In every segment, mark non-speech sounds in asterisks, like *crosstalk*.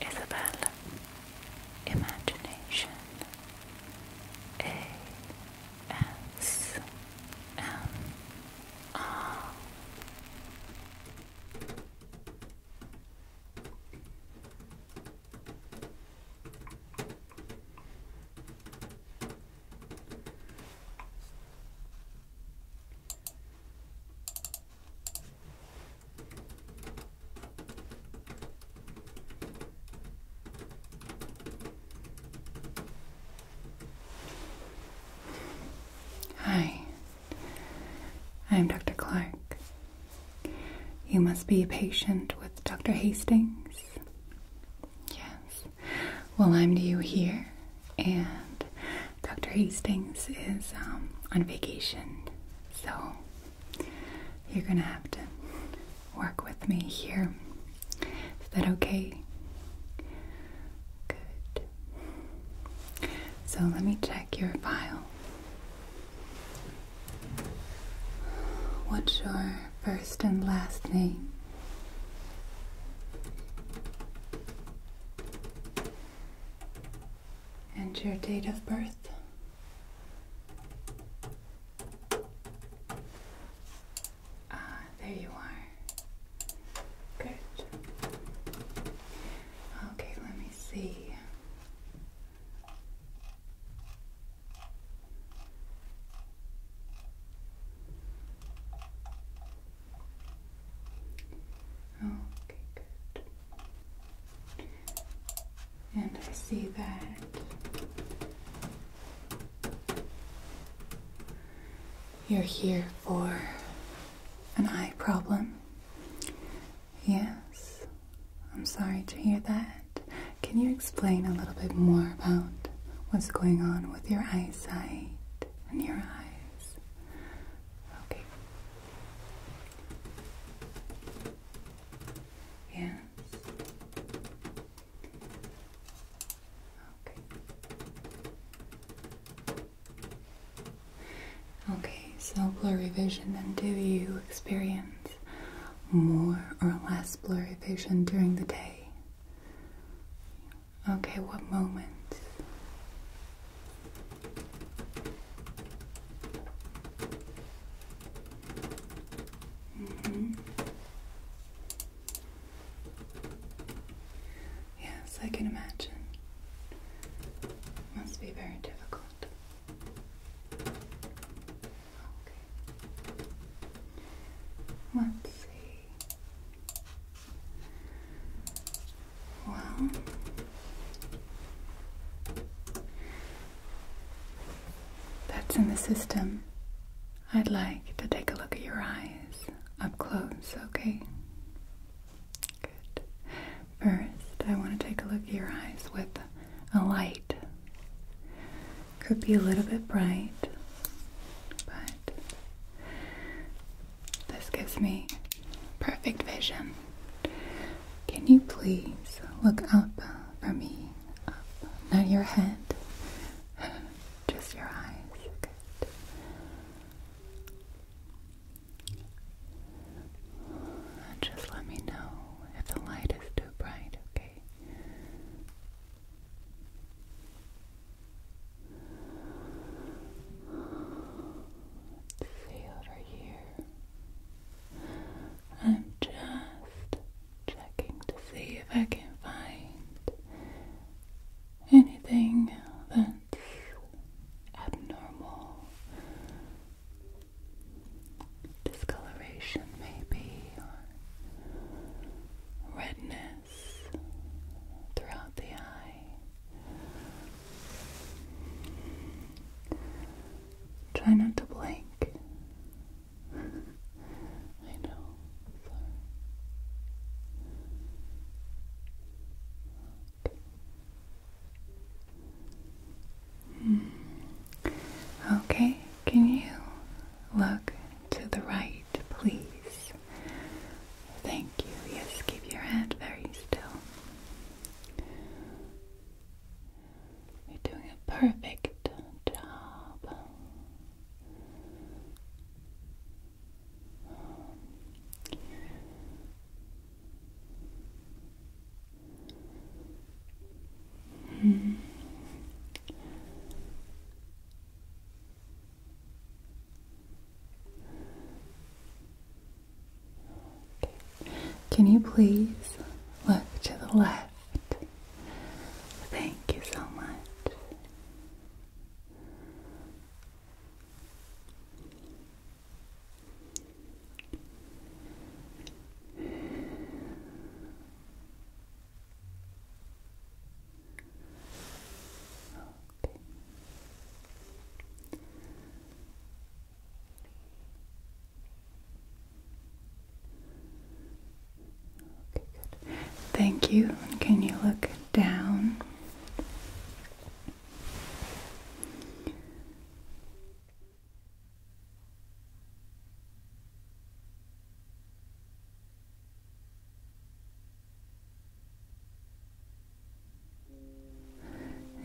Isabel Imagination A S M R Hi, I am Dr. Clark. You must be a patient with Dr. Hastings. Yes. Well, I'm new here and Dr. Hastings is um, on vacation, so you're gonna have to work with me here. Is that okay? Good. So let me check your file. What's your first and last name? and your date of birth. Ah, there you are. Good. Okay, let me see. Okay, good. And I see that you're here for an eye problem. Yes, I'm sorry to hear that. Can you explain a little bit more about what's going on with your eyesight and your eyes? Okay. Yes. Okay. Okay, so blurry vision, Then do you experience more or less blurry vision during the day? Okay, what moments? Mm -hmm. Yes, I can imagine. Must be very difficult. Okay. Let's see. Well, that's in the system. I'd like to take a look at your eyes up close, okay? Good. First, I want to take a look at your eyes with a light. Could be a little bit bright, but this gives me perfect vision. Can you please look up for me? Up. Not your head, *laughs* just your eyes. just let me know if the light is too bright, okay? let see over here. I'm just checking to see if I can find anything that's abnormal. Discoloration, maybe, or redness throughout the eye. Try not to blink. I know. Okay. Hmm. okay, can you look to the right, please? Thank you. Yes, keep your hand very still. You're doing a perfect job. Hmm. Can you please look to the left? Thank you so much. Okay. Okay, good. Thank you. Can you look down?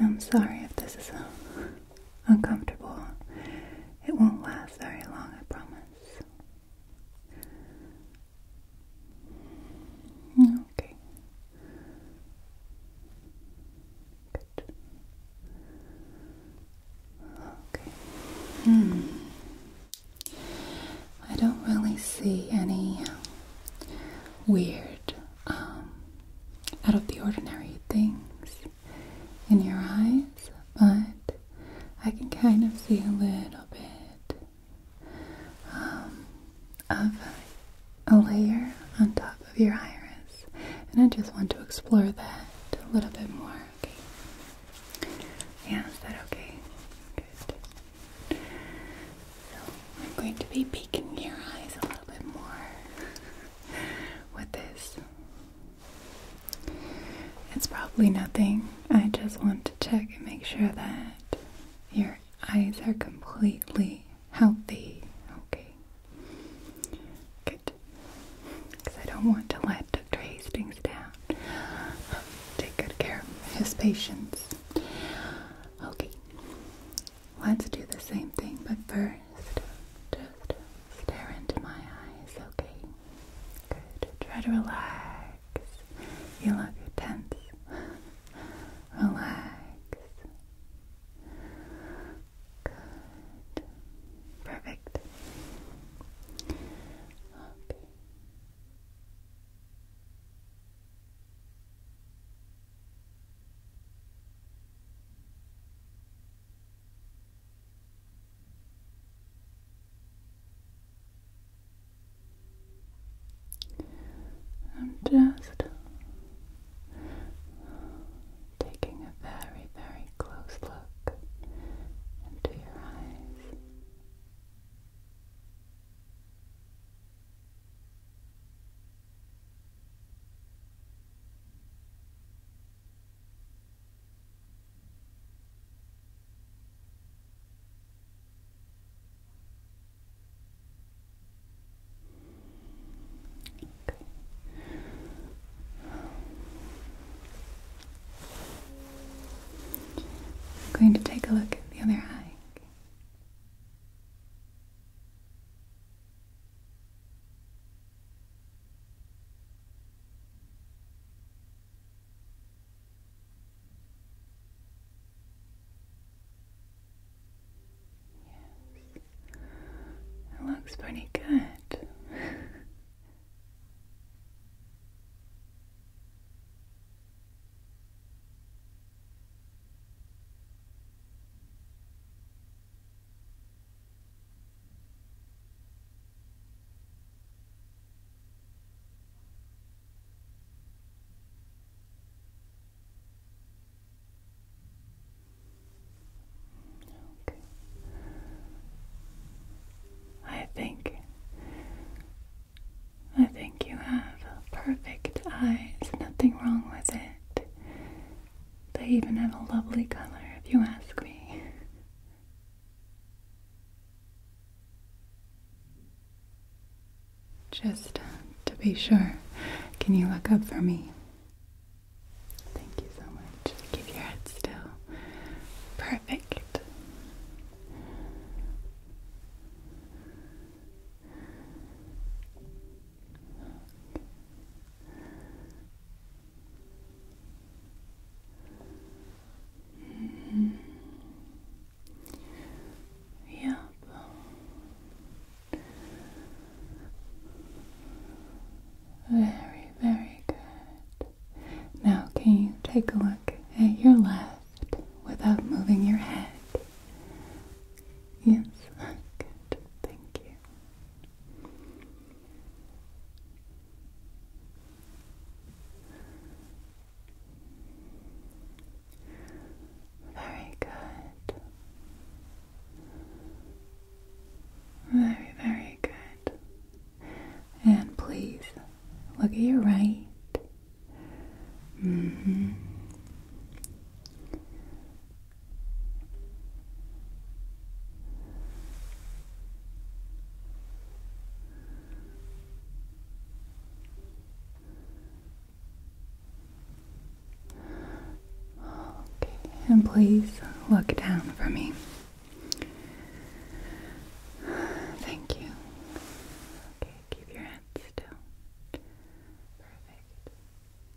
I'm sorry if this is *laughs* uncomfortable. It won't last very long, I promise. Okay. Good. Okay. Hmm. I don't really see any weird um, out of the ordinary things in your eyes, but I can kind of see a little bit um, of a layer on top of your iris, and I just want to explore that a little bit more. Yeah, is that okay? Good. I'm going to be peeking your eyes a little bit more *laughs* with this. It's probably nothing. I just want to check and make sure that your eyes are completely healthy. Okay. Good. Because I don't want to let Dr. Hastings down. Take good care of his patients. Okay. Let's do the same thing, but first, just stare into my eyes, okay? Good. Try to relax. You look tense. relax. Good. Perfect. Okay. I'm just taking a very, very close look into your eyes. I'm going to take a look at the other eye. Yes. It looks pretty good. Okay. I think I think you have perfect eyes, nothing wrong with it. They even have a lovely color, if you ask me. Just to be sure, can you look up for me? Thank you so much. Just Keep your head still. Perfect. Yep. Very, very good. Now, can you take a look at your left without moving your head? Yes, good, thank you. Very good. Very, very good. And please look at your right. -hmm and please look down for me. Thank you. Okay, keep your head still. Perfect.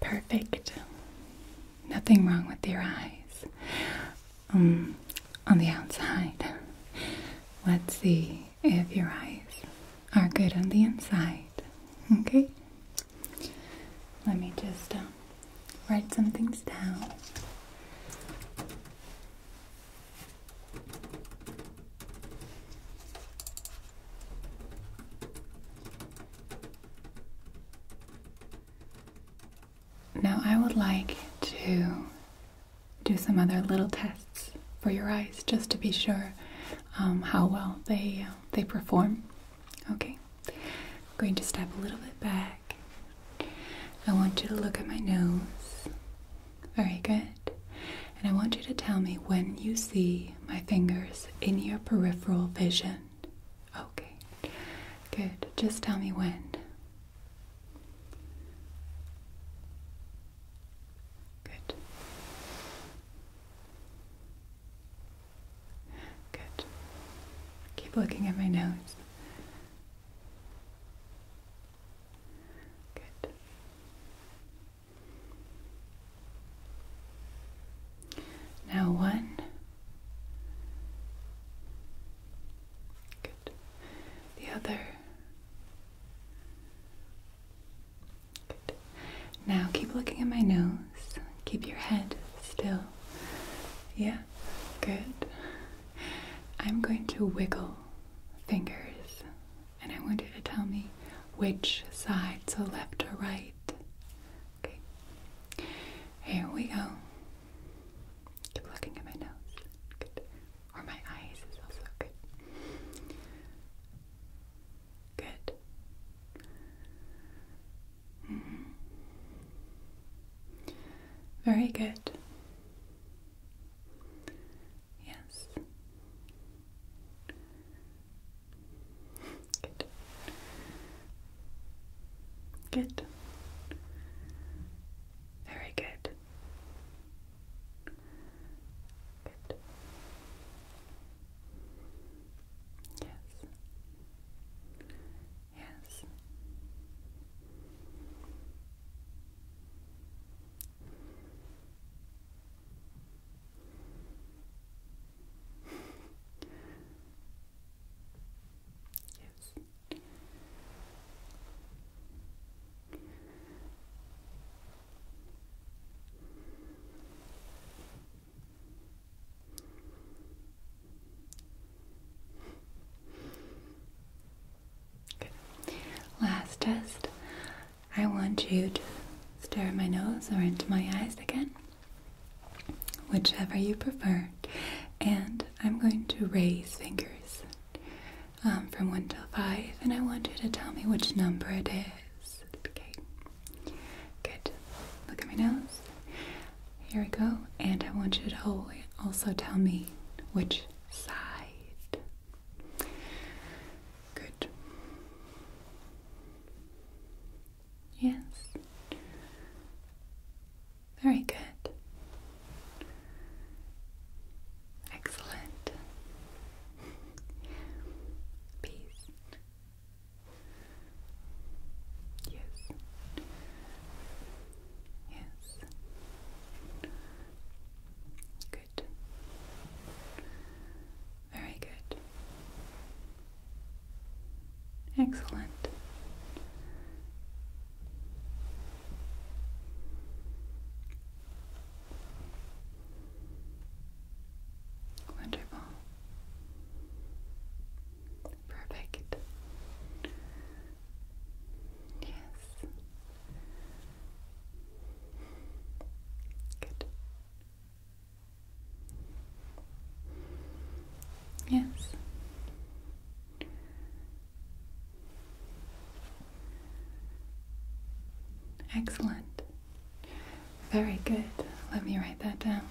Perfect. Nothing wrong with your eyes. Um, on the outside. Let's see if your eyes are good on the inside. Okay? Let me just uh, write some things down. Now, I would like to do some other little tests for your eyes just to be sure um, how well they, uh, they perform. Okay. I'm going to step a little bit back. I want you to look at my nose. Very good. And I want you to tell me when you see my fingers in your peripheral vision. Okay. Good. Just tell me when. Good. Good. Keep looking at my nose. Good. Now one. Good. The other. Good. Now keep looking at my nose. Keep your head still. Yeah, good. I'm going to wiggle fingers and I want you to tell me which sides are left or right. Okay, here we go. Keep looking at my nose. Good. Or my eyes is also good. Good. Very good. Yes. Good. Good. Very good. Good. Yes. Yes. yes. Last test. I want you to stare at my nose or into my eyes again, whichever you prefer. And I'm going to raise fingers um, from 1 to 5, and I want you to tell me which number it is. Okay. Good. Look at my nose. Here we go. And I want you to also tell me which side. Good. Yes. Very good. Excellent. Peace. Yes. Yes. Good. Very good. Excellent. Wonderful. Perfect. Yes. Good. Yes. Excellent. Very good. Let me write that down.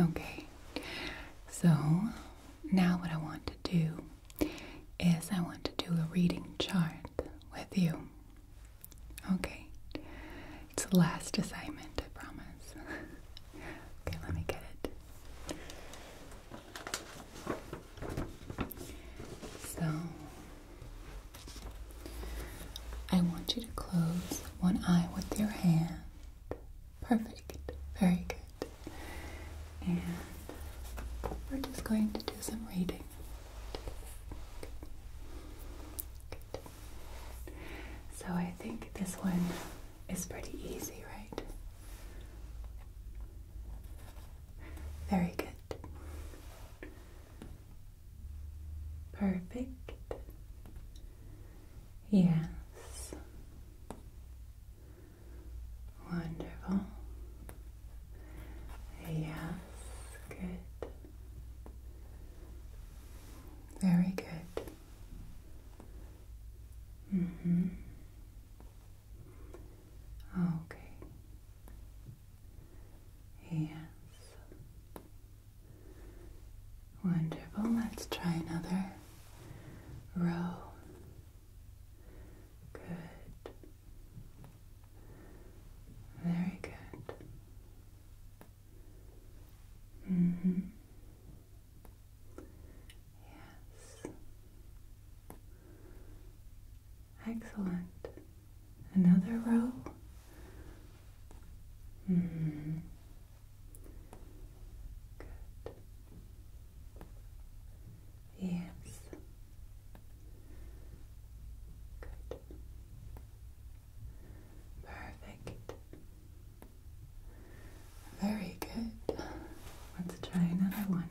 Okay, so now what I want to do is I want to do a reading chart with you. Okay, it's the last assignment, I promise. *laughs* okay, let me get it. So, I want you to close one eye with your hand. Perfect. Very good. And we're just going to do some reading. So, I think this one is pretty easy, right? Very good. Perfect. Yes. Wonderful. Yes, good. Very good. Mm-hmm. Okay. Yes. Wonderful. Let's try another row. Good. Very good. Mm-hmm. Yes. Excellent. Another row. hmm. Good. Yes. Good. Perfect. Very good. Let's try another one.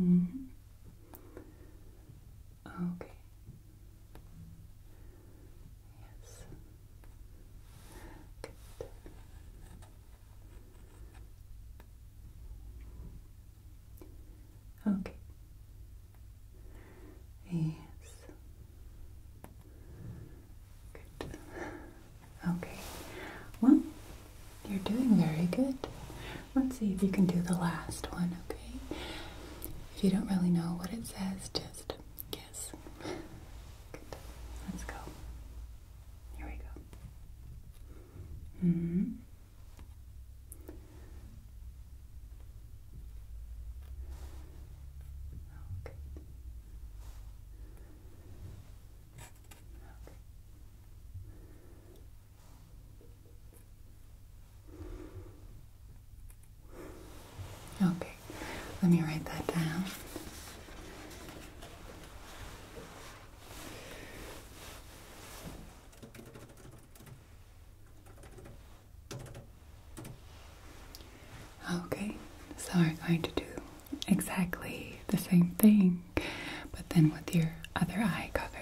Mm-hmm. Okay. Yes. Good. Okay. Yes. Good. Okay. Well, you're doing very good. Let's see if you can do the last one, okay? If you don't really know what it says, just guess. Good. Let's go. Here we go. hmm. Okay. Okay. let me write that down. Okay, so we're going to do exactly the same thing, but then with your other eye covered.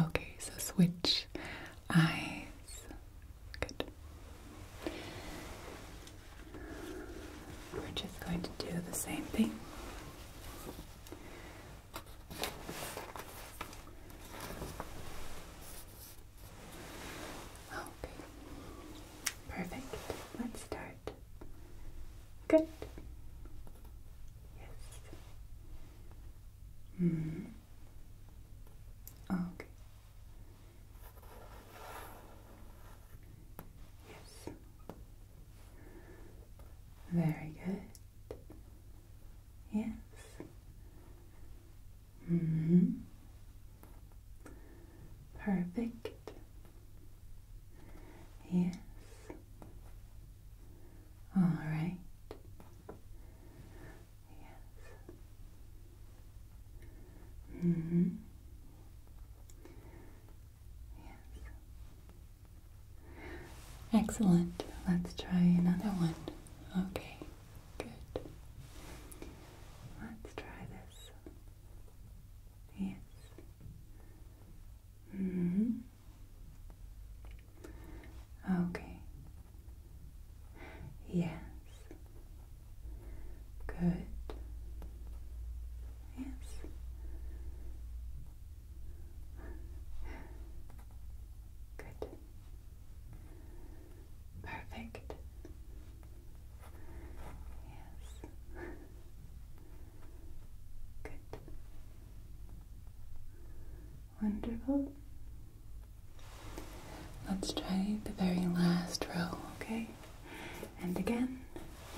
Okay, so switch eyes. Good. We're just going to do the same thing. Okay. Perfect. Let's start. Good. Yes. hmm. Okay. Yes. Very good. Yes. Mm-hmm. Perfect. Yes. All right. Yes. Mm-hmm. Yes. Excellent. Let's try another one. Okay. Good. Let's try this. Yes. hmm. Okay. Yes. Good. Yes. Good. Perfect. Yes. Good. Wonderful. Let's try the very last row, okay? And again,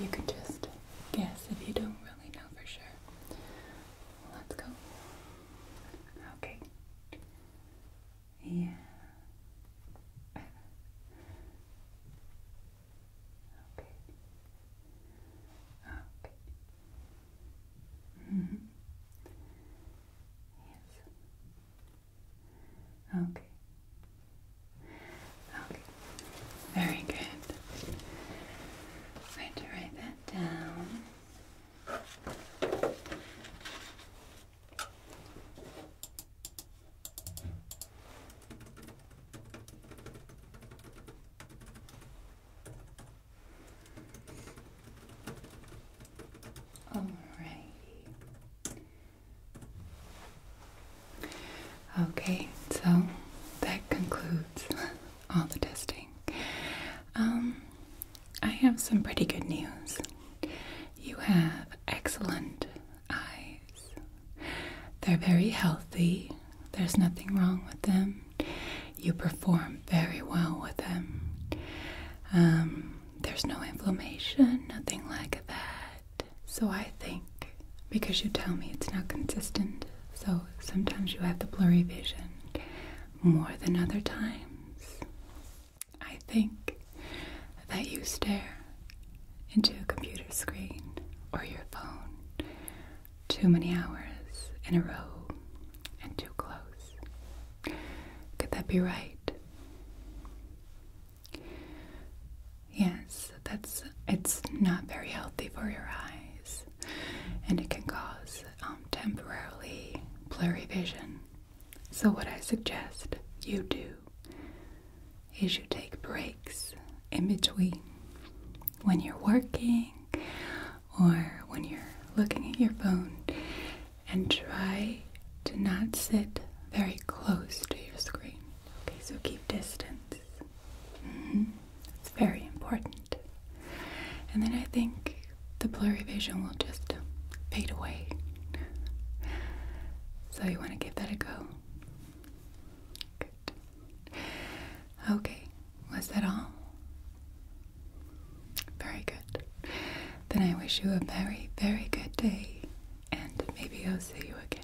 you can just guess if you don't really know for sure. Let's go. Okay. Yeah. okay. Okay. -hmm. Yes. Okay. Okay. Very good. I'm to write that down. All right. Okay, so that concludes *laughs* all the testing. Um, I have some pretty good news. You have excellent eyes. They're very healthy, there's nothing wrong with them. You perform very well with them. Um, there's no inflammation, nothing like that. So I think because you tell me it's not consistent, so sometimes you have the blurry vision more than other times. I think that you stare into a computer screen or your phone too many hours in a row and too close. Could that be right? Yes, that's it's not very healthy for your eyes and it can cause um, temporarily blurry vision. So, what I suggest you do is you take breaks in between when you're working or when you're looking at your phone and try to not sit very close to your screen. Okay, so keep distance. Mm-hmm. It's very important. And then I think the blurry vision will just fade away. so you want to give that a go? Good. Okay, was that all? Very good. Then I wish you a very, very good day, and maybe I'll see you again.